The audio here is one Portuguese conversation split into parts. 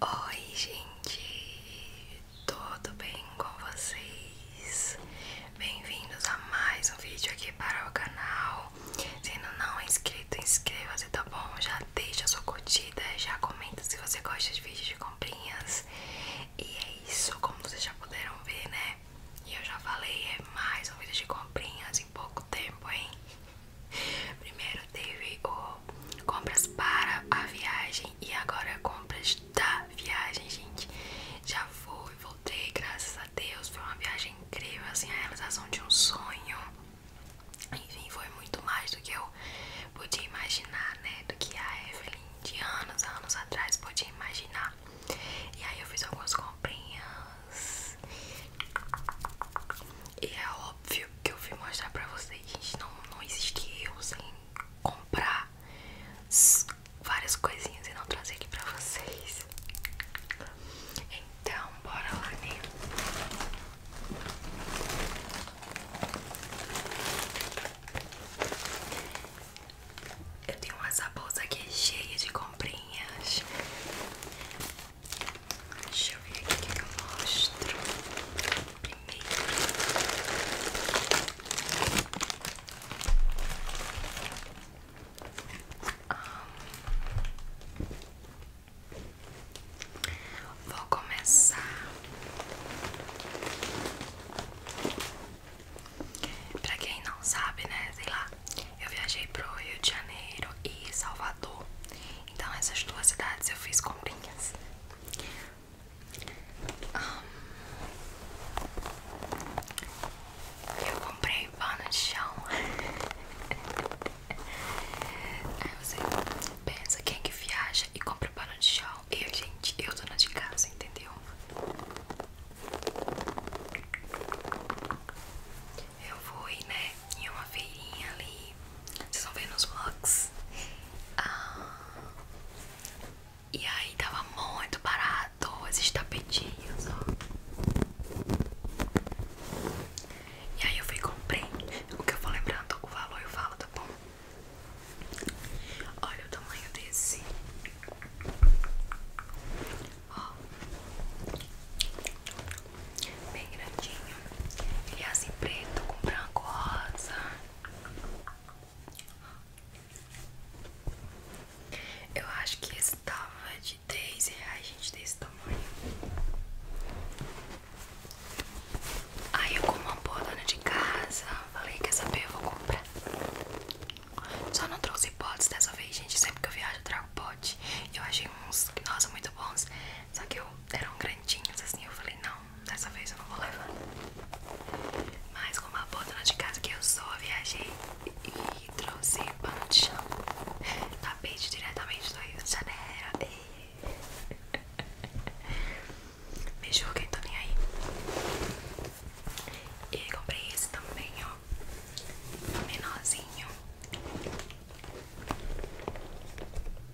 Oi, gente, tudo bem com vocês? Bem-vindos a mais um vídeo aqui para o canal. Se não, não é inscrito, inscreva-se, tá bom? Já deixa sua curtida, já comenta se você gosta de vídeos de comprinhas. E é isso, como vocês já puderam ver, né? e eu já falei, é mais um vídeo de comprinhas em pouco tempo, hein? Primeiro teve o compras para a viagem e agora compras da viagem, gente. Já fui, voltei, graças a Deus. Foi uma viagem incrível, assim, a realização de um sonho. Enfim, foi muito mais do que eu podia imaginar, né? Do que a Evelyn de anos, anos atrás podia imaginar. E aí eu fiz algumas comprinhas. E é óbvio que eu fui mostrar pra vocês, gente, não, não existe eu sem comprar várias coisinhas e não trazer aqui pra vocês. Então, bora lá, né? Eu tenho essa bolsa aqui cheia de comprinhas. Deixa eu ver aqui o que eu mostro. Primeiro. Vou começar Pra quem não sabe, né? Sei lá, eu viajei pro Rio de Janeiro e Salvador. Então essas duas cidades eu fiz comprinhas. eu comprei pano de chão. Aí você pensa quem é que viaja e compra pano de chão. Eu, gente, eu tô na de casa, entendeu? Eu fui, né, em uma feirinha ali. Vocês vão ver nos vlogs. Ah, e aí tava muito barato esses tapetinhos, ó. E aí eu fui e comprei. O que eu vou lembrando, o valor eu falo, tá bom? Olha o tamanho desse ó, bem grandinho, ele é assim preto com branco rosa. Eu acho que esse tava de 10 reais, gente, desse tamanho. Aí eu como uma boa dona de casa, falei, quer saber, eu vou comprar. Só não trouxe potes dessa vez, gente. Sempre que eu viajo eu trago pote. Eu achei uns, que são muito bons. Só que eram grandinhos assim. Eu falei, não, dessa vez eu não vou levar. Mas com uma bota de casa que eu só viajei e trouxe pano de chão. Tapete diretamente do Rio de Janeiro. E... Me julguem, tô nem aí. E comprei esse também, ó. Menorzinho.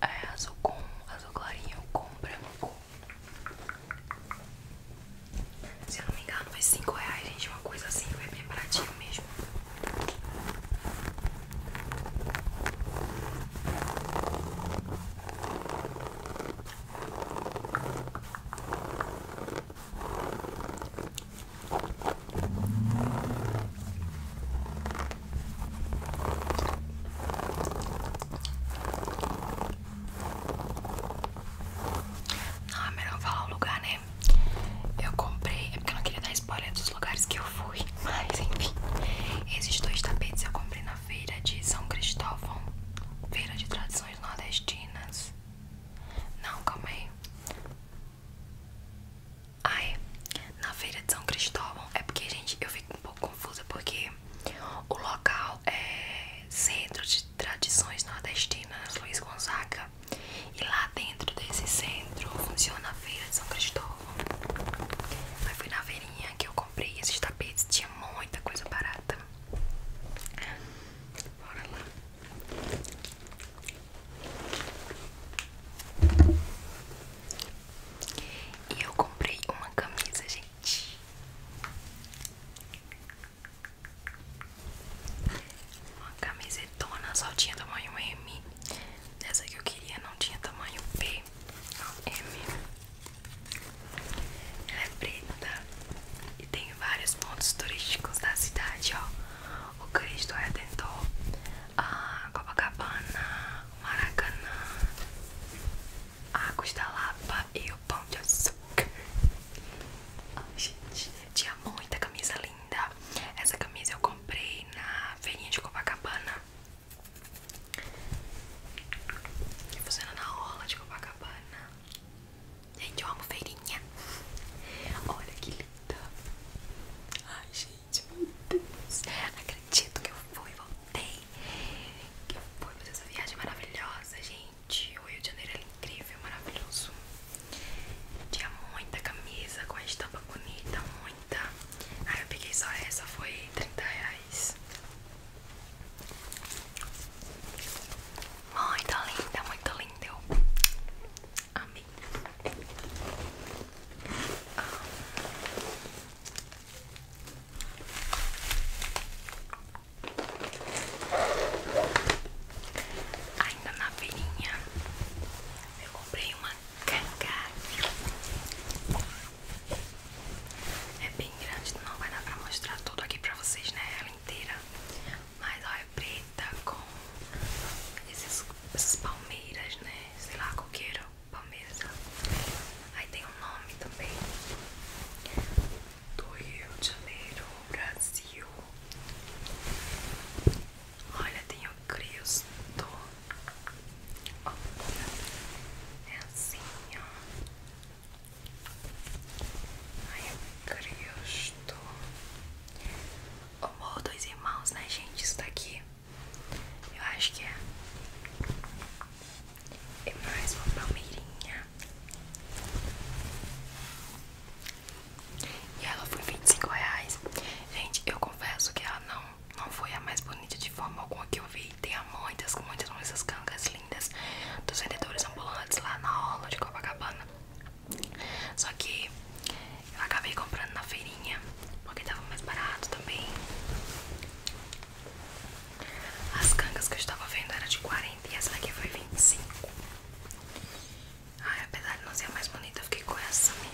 É azul com azul clarinho com branco. Se eu não me engano, foi 5 reais, gente. Uma coisa assim, foi bem baratinho mesmo. Ah, não, é melhor falar lugar, né? Eu comprei, é porque eu não queria dar spoiler dos lugares que eu fui, mas enfim. Esses dois tapetes eu comprei na feira de São Cristóvão, feira de tradições nordestinas. Não, calma aí. Ai, na feira de São Cristóvão é porque, gente, eu fico um pouco confusa porque o local é Centro de Tradições Nordestinas Luiz Gonzaga e lá dentro desse centro funciona a feira de São Cristóvão. Mas fui na feirinha que eu comprei esses tapetes, tinha muita coisa barata. Bora lá. E eu comprei uma camisa, gente. Uma camisetona, só tinha tamanho M. Essa que eu queria não tinha tamanho P, não M. Ela é preta tem vários pontos turísticos da cidade, ó. O Cristo Redentor, a Copacabana, o Maracanã, a Águas da Lapa e o Pão de Açúcar. Oh, gente, tinha muita camisa linda. Essa camisa eu comprei na feirinha de Copacabana. E funciona na orla de Copacabana. Gente, eu amo feirinha. Olha que linda. Ai, gente, meu Deus. Acredito que eu fui, voltei. Que eu fui fazer essa viagem maravilhosa, gente. O Rio de Janeiro é incrível, maravilhoso. Tinha muita camisa com a estampa bonita, muita. Aí eu peguei só essa, foi 30 reais. Muito linda, muito linda. Eu amei. Ah. Ainda na feirinha eu comprei uma canga. É bem grande, não vai dar pra mostrar tudo aqui pra vocês, né? Ela inteira. Mas olha é preta com esses, essas palmeiras, né? Sei lá, coqueiro, palmeiras. Aí tem um nome também do Rio de Janeiro, Brasil. Olha, tem o Cristo. É assim, ó. Ai, Cristo! O Amor, dos irmãos, né, gente? Isso daqui. Eu acho que é. E é mais uma palmeirinha. E ela foi 25 reais. Gente, eu confesso que ela não, não foi a mais bonita de forma alguma que eu vi. Tem muitas, muitas, muitas cangas lindas dos vendedores ambulantes lá na aula de Copacabana. Só que eu acabei comprando na feirinha porque tava mais barato também. As cangas que eu estava vendo eram de 40 e essa daqui foi 25. Ai, apesar de não ser a mais bonita, eu fiquei com essa mesmo.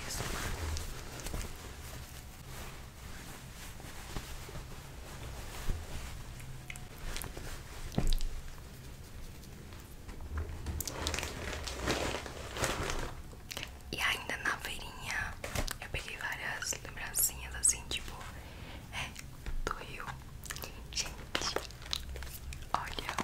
E ainda na feirinha eu peguei várias lembrancinhas assim, tipo, é, do Rio. Gente, olha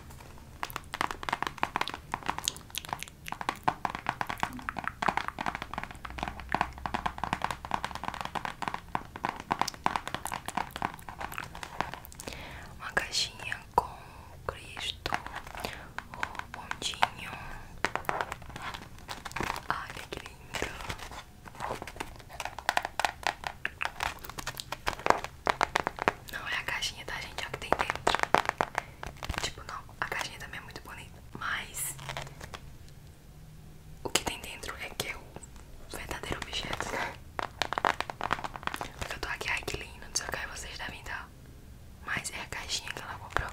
uma caixinha com Cristo, o bondinho. Olha que lindo! Não é a caixinha, tá, gente? É o que tem dentro. Tipo, não, a caixinha também é muito bonita, mas o que tem dentro é que eu é verdadeiro objeto, né? Porque eu tô aqui, ai que lindo, não sei o que vocês devem dar. Mas é a caixinha que ela comprou.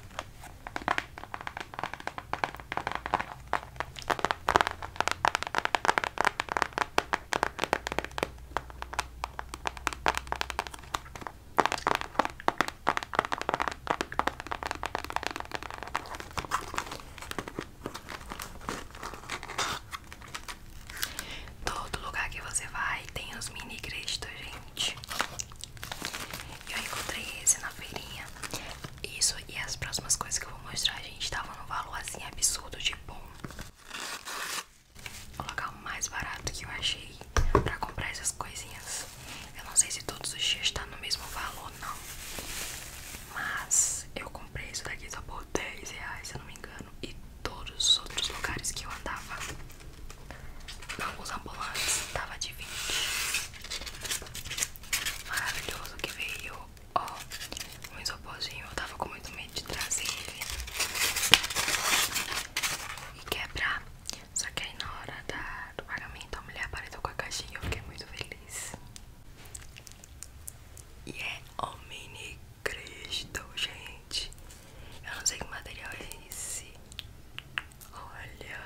Todo lugar que você vai tem os mini créditos, gente. Eu encontrei esse na feirinha. Isso e as próximas coisas que eu vou mostrar, gente, tava tá num valor assim, absurdo de bom. O local mais barato que eu achei pra comprar essas coisinhas. Eu não sei se todos os dias tá no mesmo valor, não. Mas eu comprei preço daqui só por 10 reais, se eu não me engano. E todos os outros lugares que eu andava, alguns ambulantes, tava de 20. Maravilhoso que veio, ó, um isoporzinho. Eu tava com muito medo de trazer ele e quebrar. Só que aí na hora da, do pagamento a mulher apareceu com a caixinha eu fiquei muito feliz. E é o mini Cristo, gente. Eu não sei que material é esse. Olha.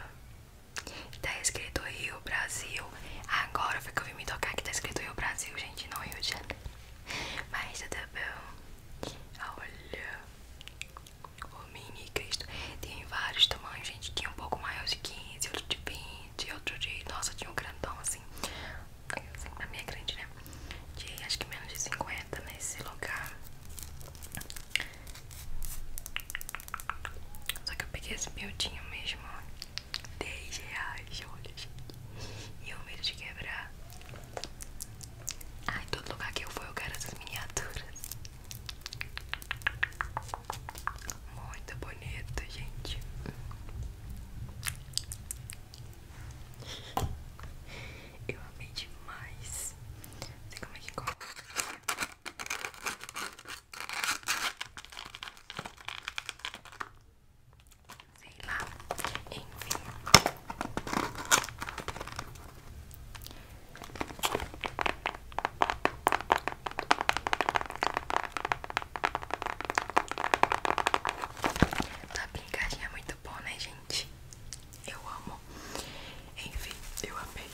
Tá escrito Rio Brasil. Agora foi que eu vim me tocar que tá escrito Rio Brasil, gente, não Rio de Mas tudo bom. Olha. O mini Cristo. Tem vários tamanhos, gente. Tinha um pouco maior de 15, outro de 20, outro de. Nossa, tinha um grandão assim assim, a minha grande, né? De acho que menos de 50 nesse lugar. Só que eu peguei esse miudinho mesmo, ó. 10 reais, olha, gente. E o medo de quebrar. Ai, todo lugar que eu fui eu quero essas miniaturas. Muito bonito, gente. Eu amei demais. sei como é que corta. lá. Enfim. Tá Brincarem é muito bom, né, gente? Eu amo. Enfim, eu amei.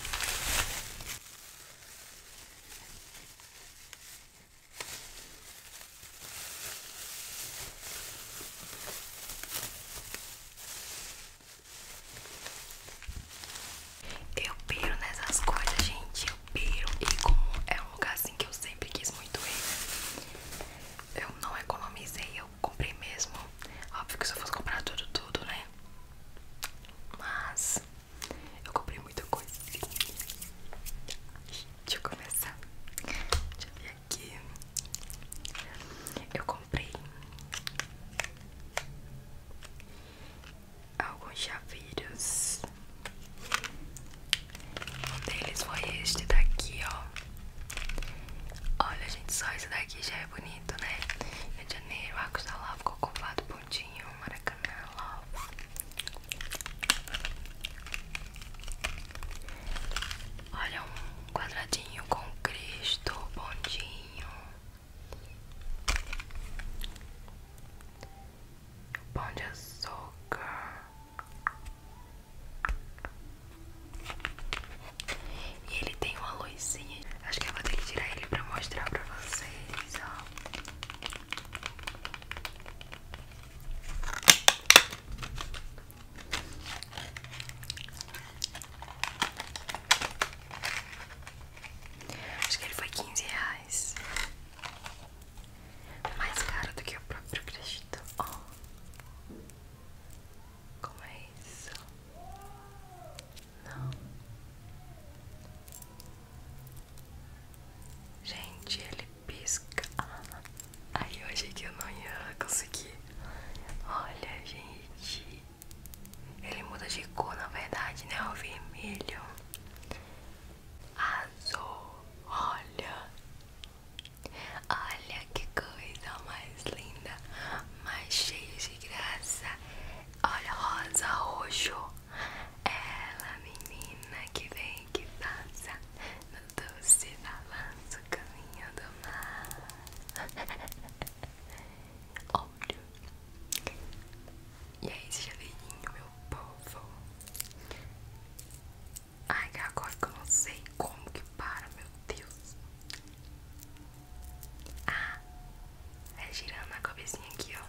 Eu piro nessas coisas, gente. Eu piro. E como é um lugar assim que eu sempre quis muito ir, né? eu não economizei, eu comprei mesmo. Óbvio que se eu fosse comprar tudo, tudo, né? Mas eu comprei muita coisa. Deixa eu começar. Deixa eu ver aqui. Eu comprei alguns chaveiros. Um deles foi este daqui, ó. Olha, gente, só esse daqui já é bonito, né? Rio de Janeiro, Arcos da Lava, Cocovado, Pontinho, Maracanã, Lava. Olha, um quadradinho com Cristo, Pontinho. Pão de açúcar. E ele tem uma luzinha. Acho que eu vou ter que tirar ele pra mostrar pra vocês, ó. Acho que ele foi 15 reais. Mais caro do que o próprio crédito. Oh. Como é isso? Não. Gente, ele pisca. Aí eu achei que eu não ia conseguir. Olha, gente. Ele muda de cor, na verdade, né? O vermelho. Azul. Olha. Olha que coisa mais linda, mais cheia de graça. Olha, rosa, é Ela, menina que vem que passa no doce balanço caminho do mar. Olha. E aí, chaveirinho, meu povo. Ai, que agora que eu não sei como que para, meu Deus. Ah, é girando a cabecinha aqui, ó.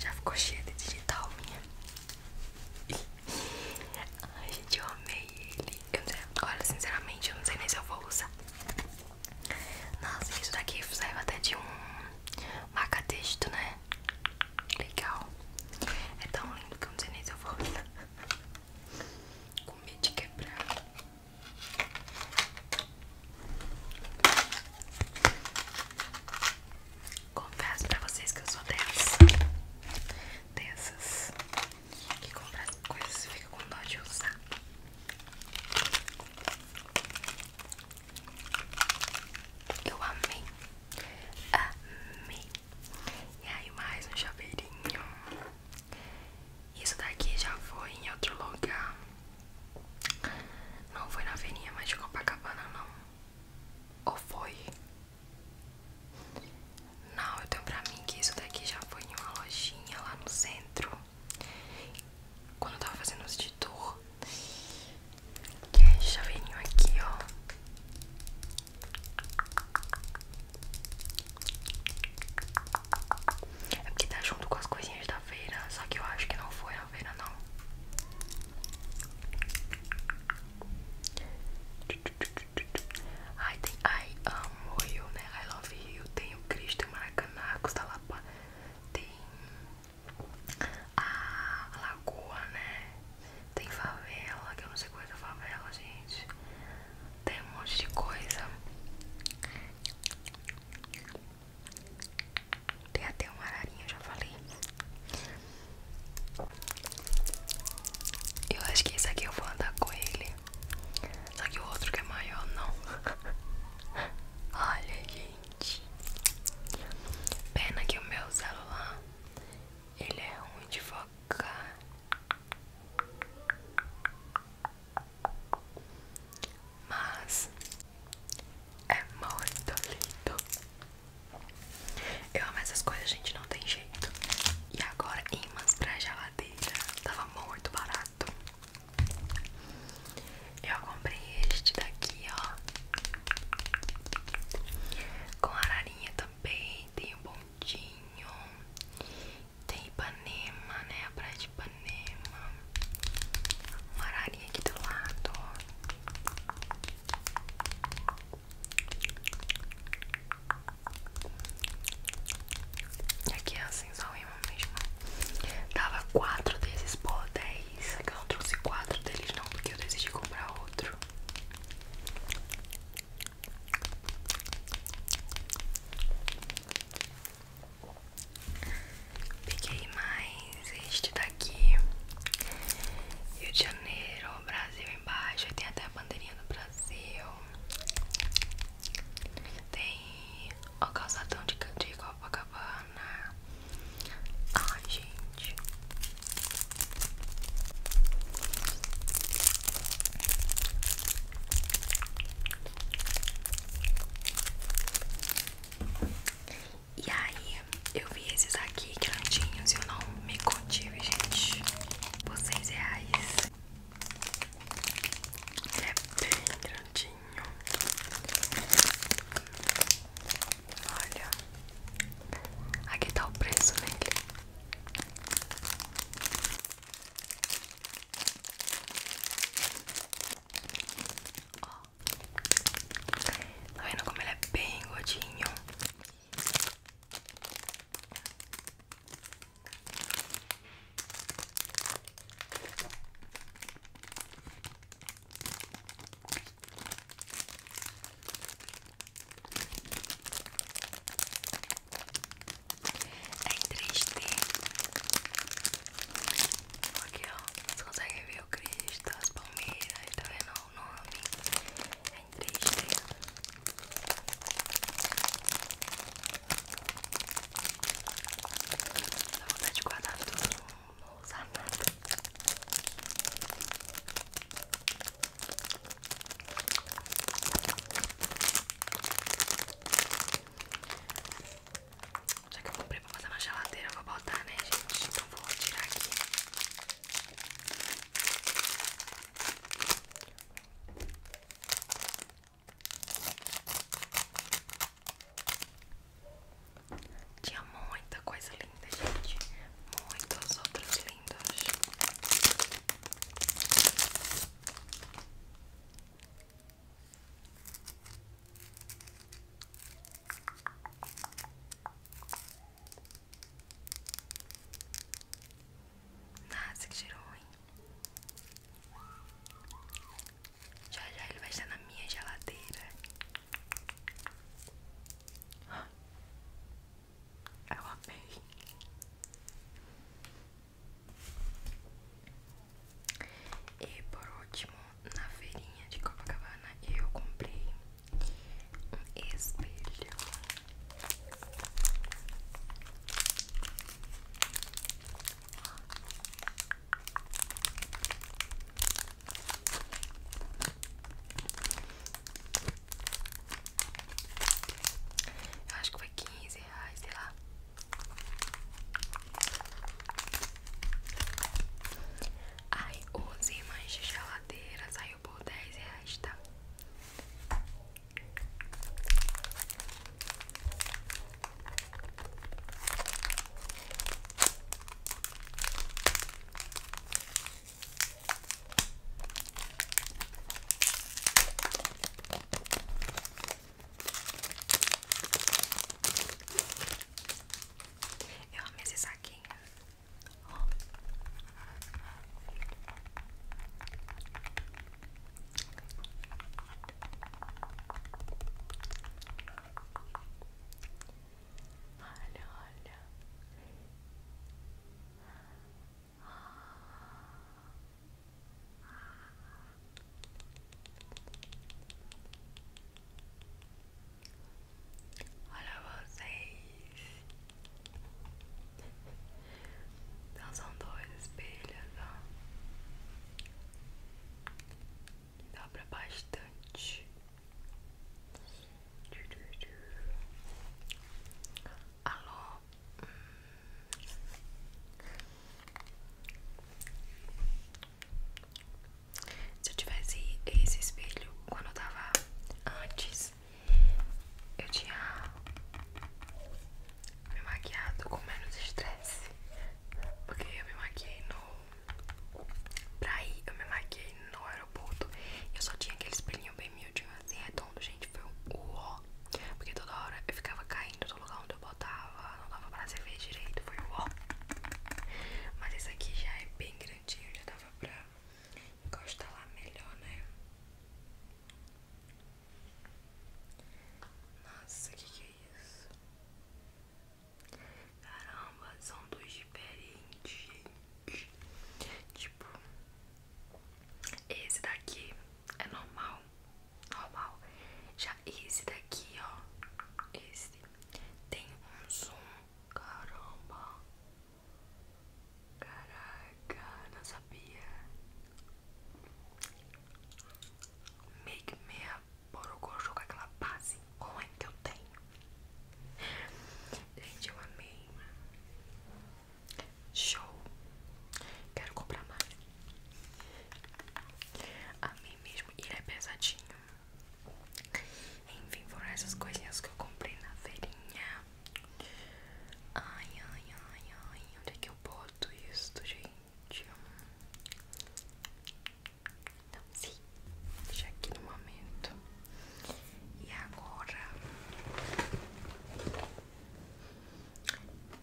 Já ficou cheia de digital minha. Ai, gente, eu amei ele. olha, sinceramente, eu não sei nem se eu vou usar. Nossa, isso daqui saiu até de um marca-texto, né? Legal. É tão lindo que eu não sei nem se eu vou usar. Com medo de quebrar. Confesso pra vocês que eu sou dessas. Dessas. Que comprar coisas e fica com dó de usar. Eu amei, amei. E aí mais um chaveirinho. Isso daqui já foi em outro lugar. Não foi na feirinha mais de Copacabana não. Ou foi? Não, eu tenho pra mim que isso daqui já foi em uma lojinha lá no centro. Quando eu tava fazendo os de dor. E aí já venho aqui, ó. É porque tá junto com as coisinhas da veira, só que eu acho que não foi a veira não. Ai, tem I amo you, né? I love you. Tem o Cristo em Maracanã, Tem a lagoa, né? Tem favela, que eu não sei coisa é, é favela, gente. Tem um monte de coisa. Tem até uma ararinha, eu já falei. Eu acho que esse aqui eu vou andar com ele. Só que o outro que é maior, não. Olha, gente. Pena que o meu celular ele é ruim de focar. Mas é muito lindo. Eu amo essas coisas, gente, não tem jeito. E agora imãs pra geladeira. Tava muito barato. Eu comprei este daqui, ó. Com ararinha também. Tem o um bondinho. Tem Ipanema, né? A praia de Ipanema. Uma ararinha aqui do lado, E aqui é assim, só uma mesmo. Tava quatro desses por dez só é que eu trouxe quatro deles não, porque eu decidi comprar outro. Peguei mais este daqui. Rio de Janeiro, Brasil embaixo. tem até a bandeirinha do Brasil. Tem o calçadão de Copacabana tornar. Ai, gente. E aí, eu vi esses aqui grandinhos e eu não me contive, gente. Por seis reais. É bem grandinho. Olha, aqui tá o preço nele. Né, tá vendo como ele é bem gordinho? É em Aqui ó, vocês conseguem ver o Cristo, as palmeiras, tá vendo o nome? É em 3D. vontade de guardar tudo não usar nada. Já que eu comprei pra fazer na geladeira, eu vou botar, né, gente? Então vou tirar aqui. Tinha muita coisa linda, gente. Muitos outros lindos. Nossa, que cheiro hein? Já já ele vai estar na minha geladeira. Eu amei. E por último, na feirinha de Copacabana, eu comprei um espelho. Eu acho que foi quinze reais, sei lá. Ai, onze imãs de geladeira saiu por dez reais, tá? Eu amei esse saquinho. Olha, olha. Olha vocês. Então são dois espelhos, ó. Dá pra bastante. Alô? Se eu tivesse esse espelho quando eu tava antes, eu tinha me maquiado com menos estresse. Porque eu me maquiei no Pra ir, eu me maquiei no aeroporto. Eu só tinha aquele espelhinho bem miudinho, assim, redondo, gente. Foi o uó. Porque toda hora eu ficava caindo do lugar onde eu botava. Não dava pra se ver direito. Foi o uó. Mas esse aqui já é bem grandinho. Já dava pra encostar lá melhor, né? Nossa, que que é isso? Caramba, são dois diferentes, gente. Tipo, esse daqui é normal. Normal. Já esse daqui, ó. Esse tem um zoom. Caramba. Caraca, não sabia. Make me a borocochô com aquela base com a é que eu tenho. Gente, eu amei. Show. Quero comprar mais. Amei mesmo. E ele é pesadinho. Enfim, foram essas coisinhas que eu comprei na feirinha. Ai, ai, ai, ai. Onde é que eu boto isso, gente? Então sim, já aqui no momento. E agora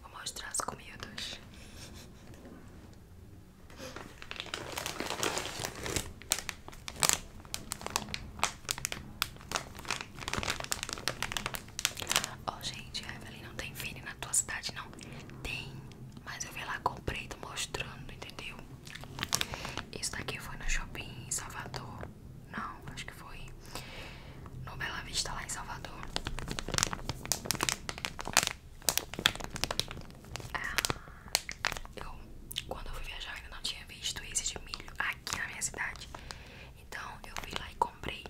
vou mostrar as comidas. Ó, oh, gente, Evelyn não tem Vini na tua cidade, não? Tem, mas eu vi lá, comprei, tô mostrando, entendeu? Isso daqui foi no shopping em Salvador. Não, acho que foi no Bela Vista, lá em Salvador. Ah, eu, quando eu fui viajar, ainda não tinha visto esse de milho aqui na minha cidade. Então eu fui lá e comprei.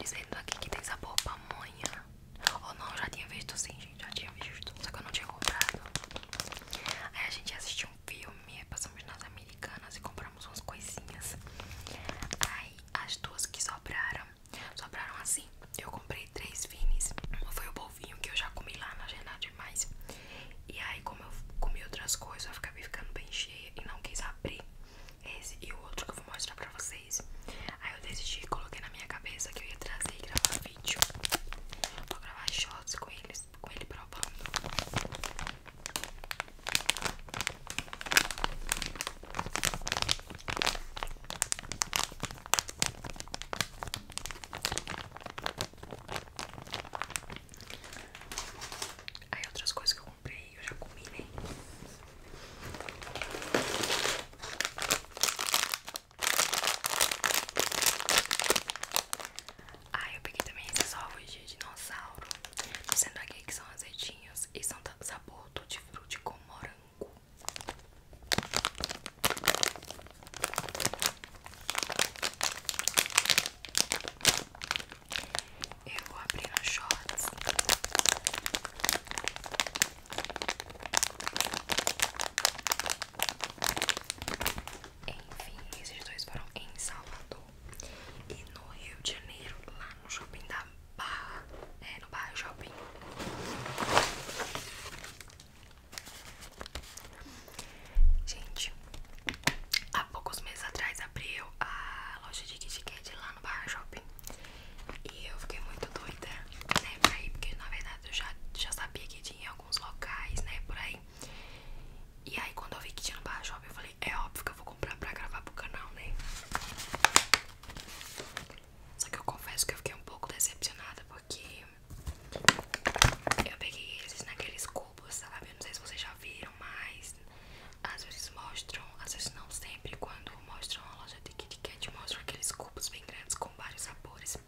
Dizendo aqui que tem sabor pamonha. Ou não, já tinha visto sim, gente, já tinha visto, só que eu não tinha comprado. Aí a gente assistiu um filme, passamos nas americanas e compramos umas coisinhas. Aí as duas que sobraram, sobraram assim. Eu comprei três finis. Uma foi o bovinho que eu já comi lá na Genal demais. E aí, como eu comi outras coisas, eu acabei ficando bem cheia e não quis abrir esse e o outro que eu vou mostrar pra vocês. Aí eu decidi coloquei na minha cabeça que eu ia trazer e gravar vídeo. Eu gravar shots com eles, com ele provando. Aí outras coisas que eu comprei, eu já comi, né? Ah, eu peguei também esses ovos de dinossauro. Tô sendo aqui que são azedinhos e são sabor de fruta com morango. Eu vou abrir no shorts. Enfim, esses dois foram em Salvador e no Rio de Janeiro, lá no shopping da Bar é, no Bar Shopping. Gente, há poucos meses atrás abriu a loja de Kit Kat lá no Bar Shopping e eu fiquei muito doida, né, pra ir, porque na verdade eu já, já sabia que tinha alguns locais, né, por aí. E aí quando eu vi que tinha no Barra Shopping, eu falei, é óbvio que eu vou comprar pra gravar pro canal, né? Só que eu confesso que eu fiquei um pouco decepcionada porque eu peguei eles naqueles cubos, sabe? Tá eu não sei se vocês já viram, mas às vezes mostram, às vezes não sempre, quando mostram a loja de Kit Kat, mostram aqueles cubos bem grandes com vários sabores.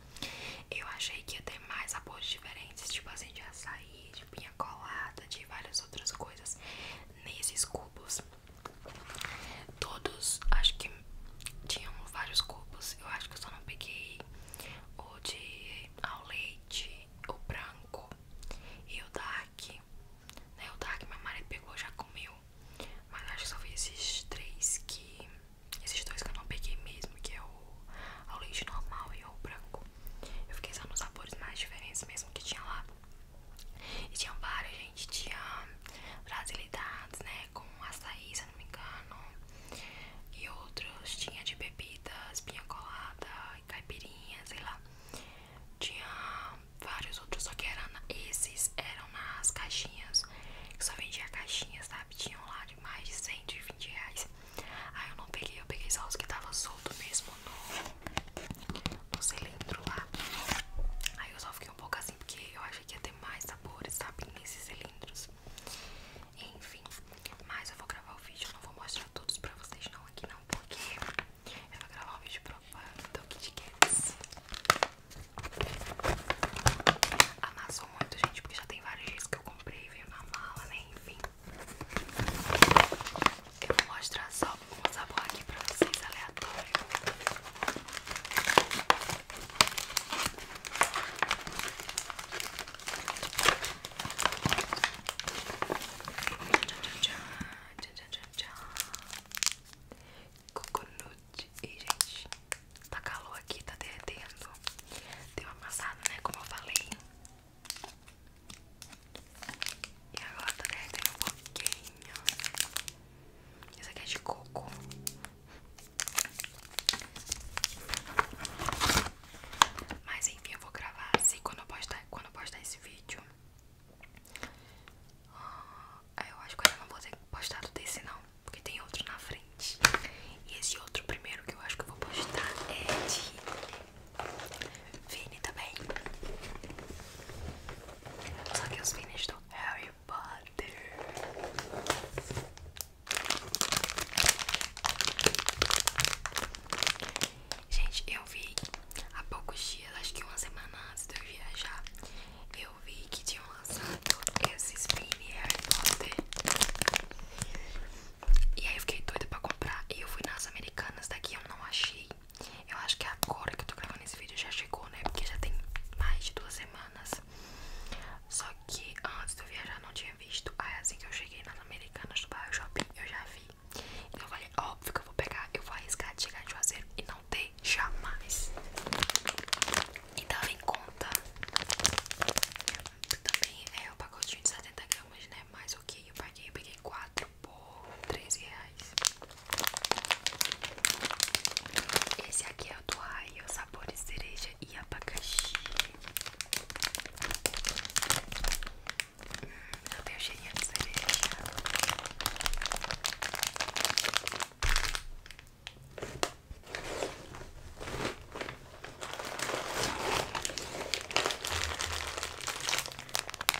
Eu achei que ia ter mais sabores diferentes, tipo assim, de açaí, de pinha colada, de várias outras coisas nesses cubos. Todos, acho que tinham vários cubos. Eu acho que eu só não peguei o de ao leite, o branco e o dark. Né, o dark minha Mari pegou, já comeu. Mas acho que só vi esses três que esses dois que eu não peguei mesmo, que é o ao leite normal e o branco. Eu fiquei só nos sabores mais diferentes mesmo que tinha lá. E tinha vários, gente. Tinha brasilidades, né? Com açaí, se eu não me engano. E outros. Tinha de bebidas, pinha colada, caipirinha, sei lá. Tinha vários outros, só que eram, esses eram nas caixinhas. Que só vendia caixinhas, sabe? Tinham lá de mais de 120 reais. Aí eu não peguei, eu peguei só os que tava solto mesmo no, cilindro lá. Aí eu só fiquei um pouco assim, porque eu achei que ia ter mais sabores, sabe? Nesses cilindros. Enfim, mas eu vou gravar o vídeo, eu não vou mostrar todos pra vocês não aqui não, porque eu vou gravar um vídeo o propagando Kit Kats. Amassou muito, gente, porque já tem várias dias que eu comprei, veio na mala, né? Enfim. Eu vou mostrar só um sabor aqui pra vocês, aleatório. Coconut verdade. E, gente, tá calor aqui, tá derretendo. Deu amassado, né? Como eu falei. E agora tá derretendo um pouquinho. Isso aqui é de coco. Mas enfim, eu vou gravar assim quando eu postar, quando eu postar esse vídeo. Ah, eu acho que eu ainda não vou ter postado desse não porque tem outro na frente. E esse outro primeiro que eu acho que eu vou postar é de Vini também. Só que os Vinis do Harry Potter. Gente, eu vi há poucos dias, acho que uma semana antes de eu viajar, eu vi que tinham lançado esse Spin é Harry Potter. E aí eu fiquei doida pra comprar. E eu fui nas americanas daqui, eu não achei. Eu acho que é agora que eu tô gravando esse vídeo já chegou, né? Porque já tem mais de duas semanas. Só que antes de eu viajar não tinha visto. Aí assim que eu cheguei nas americanas do bairro shopping, eu já vi. Então eu falei, óbvio que eu vou pegar, eu vou arriscar de chegar de Juazeiro e não ter jamais. E tava em conta Também é o pacotinho de 70 gramas, né? mais o que eu paguei? Eu peguei 4 por 13 reais Esse aqui é o do Raio Sabores cereja e abacaxi hum, Eu tenho cheirinho de cereja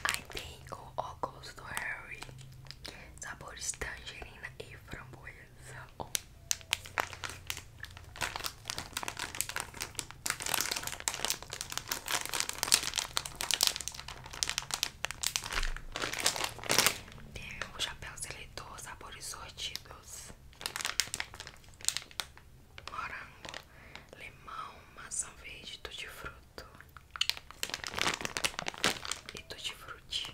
Aí tem o óculos do Harry, sabores tangerina e framboesa. Oh. Tem um chapéu seletor, sabores sortidos morango, limão, maçã verde, tutti fruto e tutti frutti.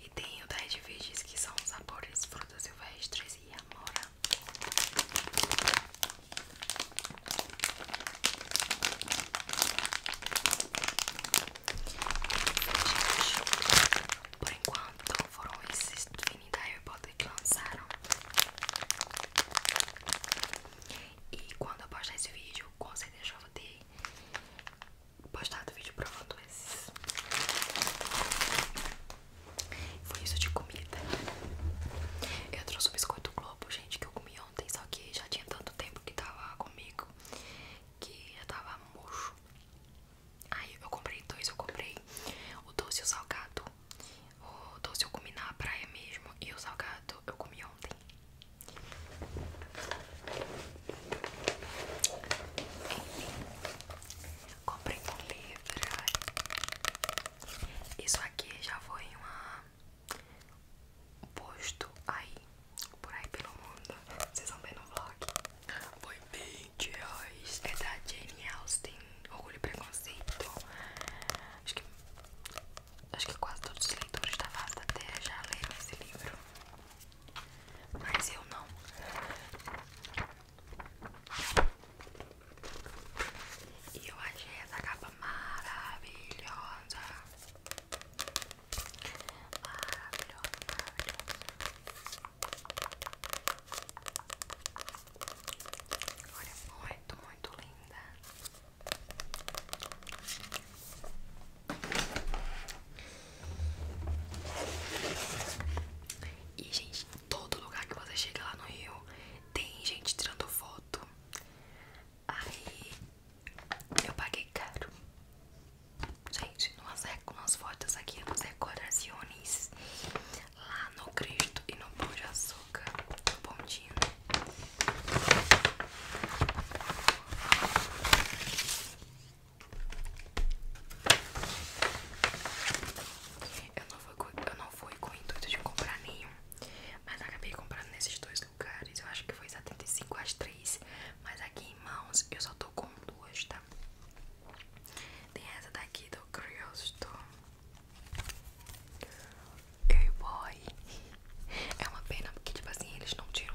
E tem o da Red que são os sabores frutas silvestres e amora. Por enquanto foram esses Vinny da Harry que lançaram. E quando eu postar esse vídeo, com certeza eu vou ter postado vídeo provando esses. Foi isso de comida. Eu trouxe o biscoito globo, gente, que eu comi ontem, só que já tinha tanto tempo que tava comigo que já tava murcho. Aí eu comprei dois, eu comprei o doce e o salgado. O doce eu comi na praia mesmo e o salgado eu comi ontem. Comprei um livro. Isso aqui já foi um posto aí, por aí pelo mundo. Vocês vão ver no vlog. oi gente reais. É da Jane Austen. Orgulho e preconceito. Acho que, acho que quase todos os leitores da Vasta Terra já leram esse livro. Mas eu não. E eu achei essa capa maravilhosa. Maravilhosa, maravilhosa. Olha, é muito, muito linda. E, gente, todo lugar que você chega lá no Rio tem gente tirando foto. Aí eu paguei caro. Gente, nós umas fotos aqui nos decorações lá no Cristo e no Pão de Açúcar, no né? Pontinho. Eu não fui, eu não fui com o intuito de comprar nenhum, mas acabei comprando nesses dois lugares. Eu acho que foi 75 às 3, mas aqui em mãos eu só tô com duas, tá? Tem essa daqui do Cristo Hey boy. É uma pena porque, tipo assim, eles não tiram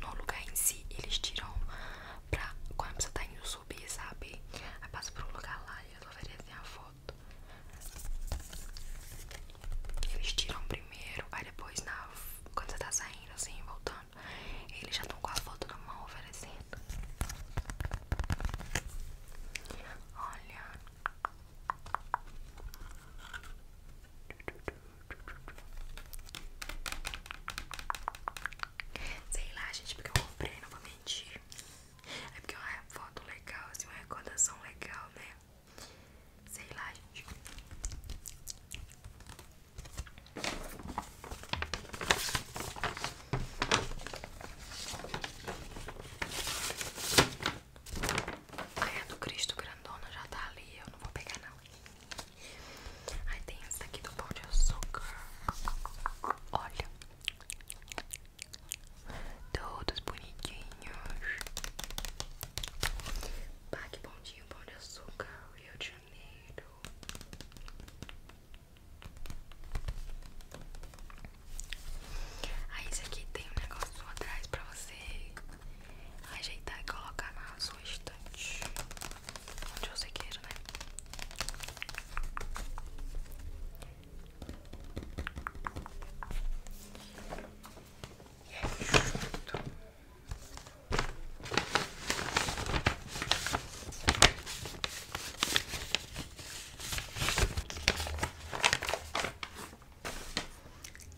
no, lugar em si, eles tiram pra quando você tá indo subir, sabe? Aí passa por um lugar lá e eles oferecem a foto. Eles tiram primeiro, aí depois na, quando você tá saindo assim, voltando, eles já estão com a foto na mão oferecendo. Olha. Sei lá, gente, porque eu comprei, não vou mentir. É porque é uma foto legal, assim, uma recordação legal, né? Sei lá, gente. Ai, a do Cristo grandona já tá ali, eu não vou pegar não. Aí tem esse daqui do pão de açúcar. Olha, todos bonitinhos. Pague bondinho, pão de açúcar, Rio de Janeiro. Aí, esse aqui tem um negócio atrás pra você ajeitar e colocar na sua estante onde você queira, né?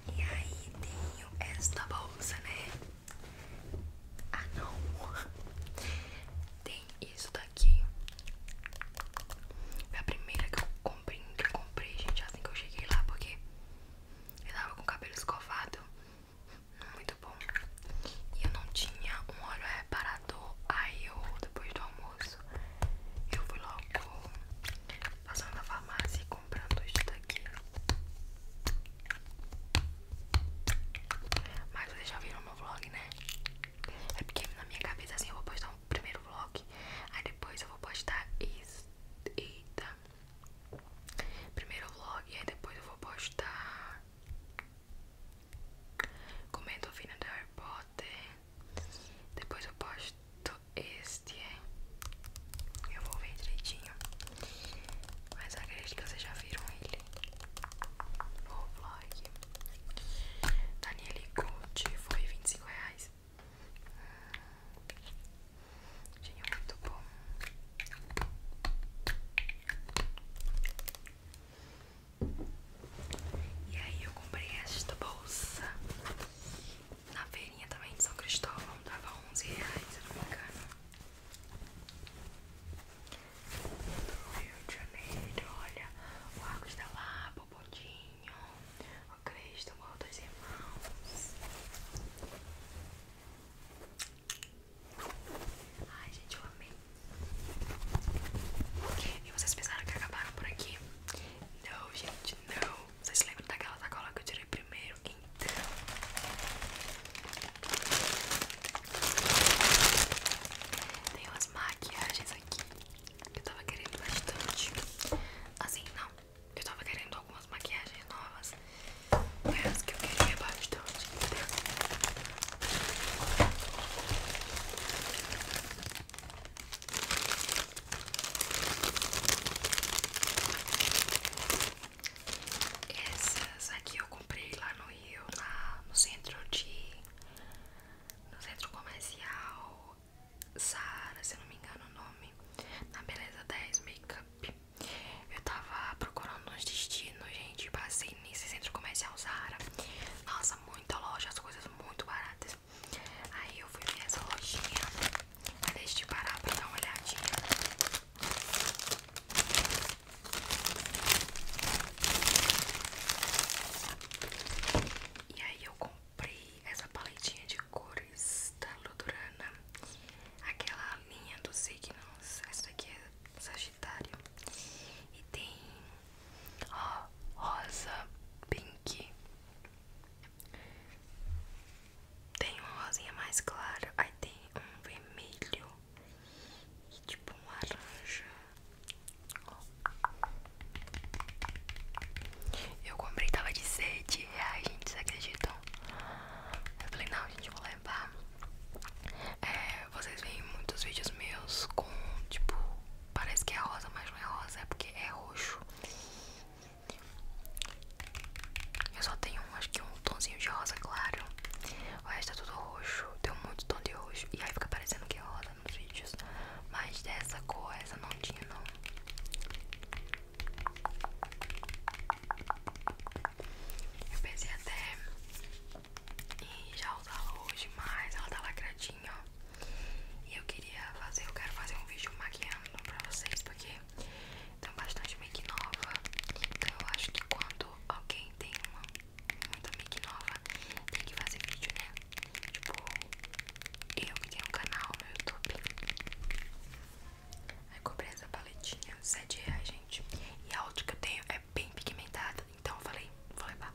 E aí tenho esta bolsa, né? Ah não Tem isso daqui Foi a primeira que eu comprei Que eu comprei, gente, assim que eu cheguei lá Porque eu tava com o cabelo escovado Muito bom E eu não tinha um óleo reparador Aí eu, depois do almoço Eu fui logo Passando na farmácia comprando isso daqui. Mas vocês já viram meu vlog, né? É porque na minha cabeça assim eu vou postar o um primeiro vlog. Aí depois eu vou postar isso. Eita. Primeiro vlog, aí depois eu vou postar. Comendo o fino do Harry Potter. Depois eu posto este. É. Eu vou ver direitinho. Mas acredito que vocês já viram ele no vlog. Daniele Gucci foi 25 reais. Tinha muito bom. E aí eu comprei esta bolsa na feirinha também de São Cristóvão, dava 11 reais, não me engano do Rio de Janeiro, olha o Arcos da lá, o Bodinho, o Cristo, o Morro dos Irmãos. Ai, gente, eu amei. E vocês pensaram que acabaram por aqui? Não, gente, não. Vocês lembram daquela sacola que eu tirei primeiro? Então, tem umas maquiagens aqui que eu tava querendo bastante. Assim, não, eu tava querendo algumas maquiagens novas. Mas que eu queria bastante, entendeu? Essas aqui eu comprei lá no Rio, na, no centro de. No centro comercial Zara se eu não me engano o nome. Na Beleza 10 Makeup. Eu tava procurando uns destinos, gente. Passei nesse centro comercial Zara Nossa, muita loja, as coisas muito baratas. Aí eu fui ver essa lojinha. Deixa de parar pra dar uma olhadinha. E aí eu comprei essa paletinha de cores da Ludurana, aquela linha do signos, essa daqui é Sagitário. E tem ó, rosa, pink, tem uma rosinha mais clara aí tem um vermelho e tipo um laranja. Eu comprei, tava de 7 reais, gente, vocês acreditam? Eu falei, não, gente, vou levar. É, vocês veem muitos vídeos meus com, tipo, parece que é rosa, mas não é rosa, é porque é roxo. Eu só tenho acho que um tonzinho de rosa claro. O resto é tudo roxo. Tem muito tom de roxo. E aí fica parecendo que é rosa nos vídeos. Mas dessa cor, essa não tinha não. Eu pensei até em já usá-la hoje, mas ela tá lacradinha, ó. E eu queria fazer, eu quero fazer um vídeo maquiando pra vocês, porque então bastante make nova. Então eu acho que quando alguém tem uma muita make nova, tem que fazer vídeo, né? Tipo, eu que tenho um canal no YouTube. Aí comprei essa paletinha, 7 reais, gente. E a outra que eu tenho é bem pigmentada. Então eu falei, vou levar.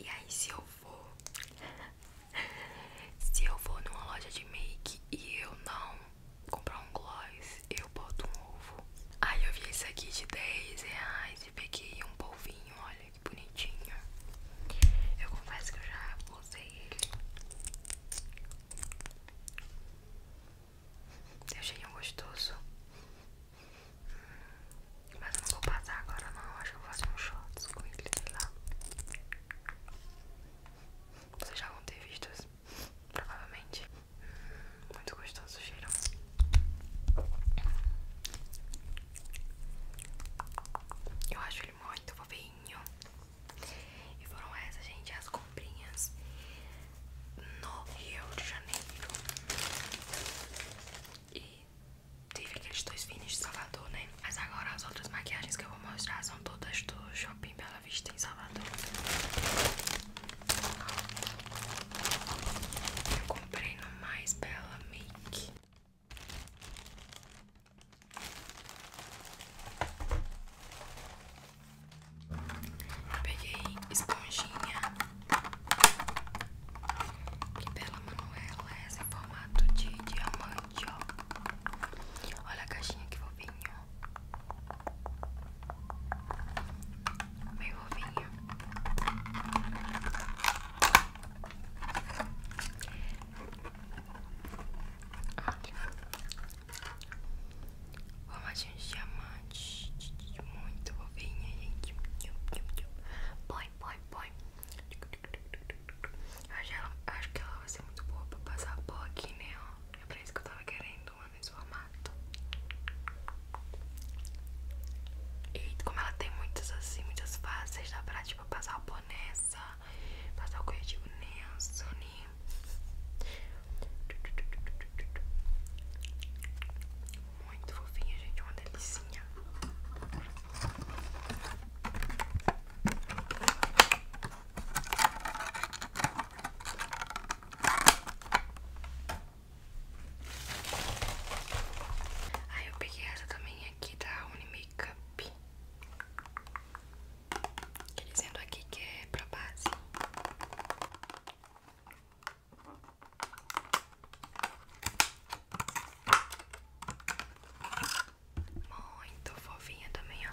E aí se eu vou se eu vou numa loja de make e eu não comprar um gloss, eu boto um ovo. Aí eu vi esse aqui de 10 reais e peguei um polvinho, olha que bonitinho. Eu confesso que eu já usei ele. Eu achei um gostoso. Hum, mas eu não vou passar agora não, acho que eu vou fazer um shot com ele, sei lá. Vocês já vão ter visto, provavelmente. Muito gostoso o cheiro. Eu acho ele muito fofinho. E foram essas, gente, as comprinhas no Rio de Janeiro. E teve aqueles dois finis de Salvador, né? Mas agora as outras maquiagens que eu vou mostrar são todas dos Shopping Bela Vista em Salvador. Eu comprei no Mais Bela Make. peguei esponjinha. Que bela Manuela. Essa é em formato de diamante, ó. Olha a caixinha que ó Meio ovinho. Olha. Formadinho de diamante. Muito ovinha, gente. Põe, põe, põe. Acho que ela vai ser muito boa pra passar pó aqui, né? É pra isso que eu tava querendo gôndola nesse formato. E como ela tem muitas assim, muitas faces, dá pra tipo passar o pó nessa, passar o corretivo nessa, né? Muito fofinha, gente, uma delicinha. Aí eu peguei essa também aqui da Unimakeup dizendo aqui que é pra base muito fofinha também, ó.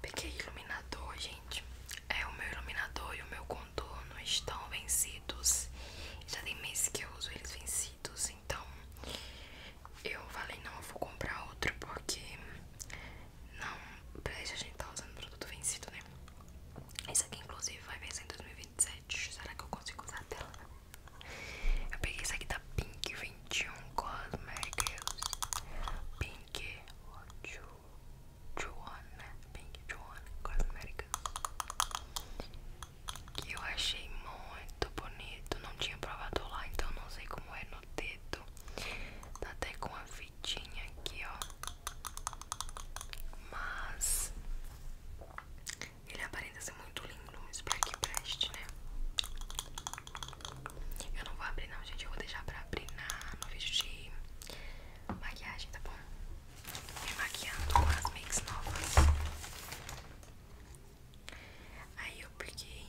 Peguei iluminador, gente. É o meu iluminador e o meu contorno estão vencidos. Já tem meses que eu uso eles vencidos, então eu falei não, eu vou comprar outro porque não presta a gente tá usando produto vencido, né? Esse aqui inclusive vai vencer em 2027. Será que eu consigo usar a tela? Eu peguei esse aqui da Pink 21 Cosmetics Pink or Ju Juan, né? Pink Juan Cosmetics Que eu achei muito bonito Não tinha provado lá, então não sei como é no dedo Tá até com a fitinha aqui, ó Mas... Ele aparenta ser muito lindo, no espero que preste, né? Eu não vou abrir não, gente. Eu vou deixar pra abrir na, no vídeo de maquiagem, tá bom? Me maquiando com as makes novas. Aí eu peguei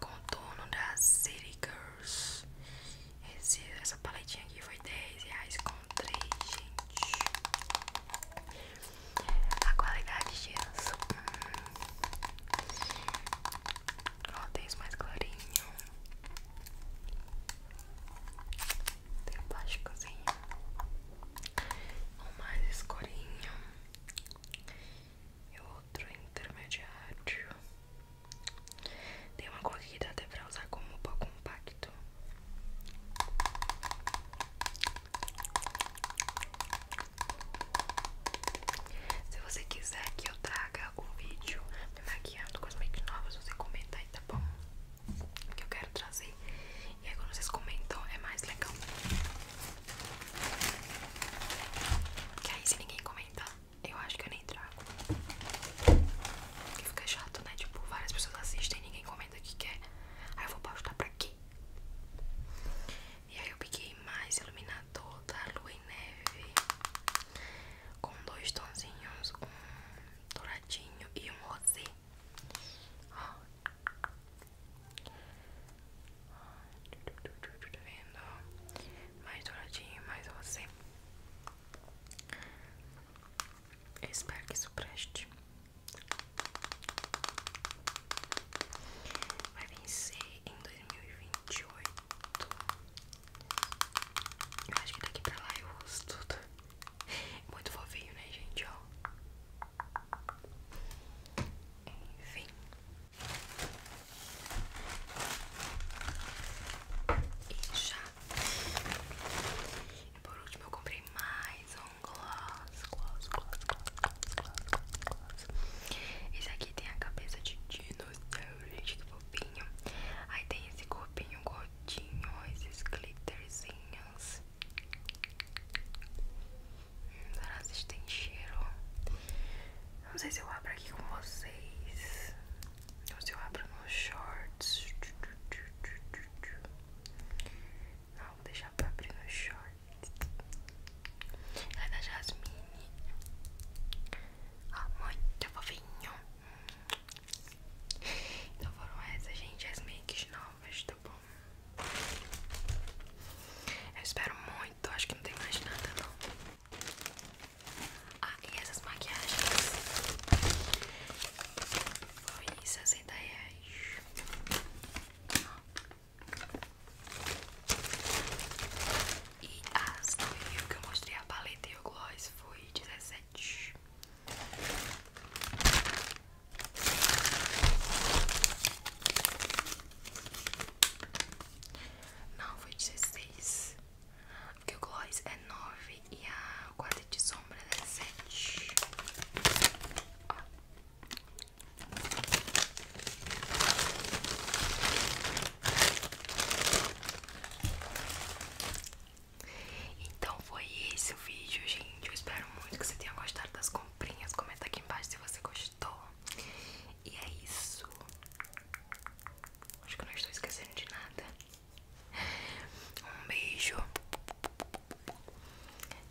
contorno da City Girls. essa paletinha aqui foi 10 reais com 3, gente. A qualidade disso. Hum. Ó, tem esse mais clarinho. Tem um plásticozinho. Um mais escurinho. E outro intermediário. Tem uma cor que dá até pra usar como pó compacto. Se você quiser que eu traga um vídeo me maquiando com as make novas, você comenta aí, tá bom? Que eu quero trazer. E aí quando vocês comentam é mais legal. Que aí se ninguém comentar eu acho que eu nem trago. Porque fica chato, né? Tipo, várias pessoas assistem e ninguém comenta que quer. Aí eu vou postar pra quê? E aí eu peguei mais iluminador da Lua e Neve com dois tonzinhos, um douradinho e um rosé. Ó. Tá vendo? Mais douradinho, mais rosé. espero que isso preste. Vai vencer em 2028. Eu acho que daqui pra lá eu uso tudo. É muito fofinho, né, gente? Ó. Enfim. E já. E por último eu comprei mais um gloss, gloss, gloss quase, Esse aqui tem a cabeça de dinossauro, gente, que fofinho. Aí tem esse corpinho gordinho, esses glitterzinhos. Hum, será se tem cheiro? Não sei se eu abro aqui com vocês. Ou se eu abro nos shorts. Não, vou deixar pra abrir nos shorts. Ela é da Jasmine. Ah, muito tá fofinho. Hum. Então foram essas, gente, as makes novas, tá bom? Eu espero muito, acho que não tem mais nada não. Ah, e essas maquiagens foi 60 reais. E as do que eu mostrei a paleta e o gloss foi dezessete Não, foi dezesseis Porque o gloss é nove e a quarta de sombra é 7. Então foi esse o vídeo, gente. Eu espero muito que você tenha gostado das comprinhas. Comenta aqui embaixo se você gostou. E é isso. Acho que eu não estou esquecendo de nada. Um beijo.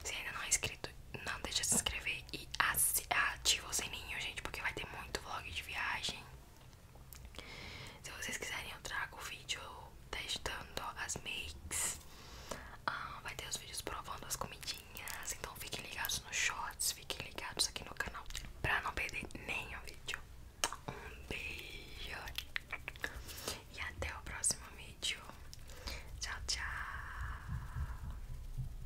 Se ainda não é inscrito, não deixe de se inscrever e ative o sininho, gente, porque vai ter muito vlog de viagem. Se vocês quiserem, eu trago vídeo testando as makes. Ah, vai ter os vídeos provando as comidinhas. Então fiquem ligados nos shots, fiquem ligados aqui no canal pra não perder nenhum vídeo. Um beijo e até o próximo vídeo. Tchau, tchau.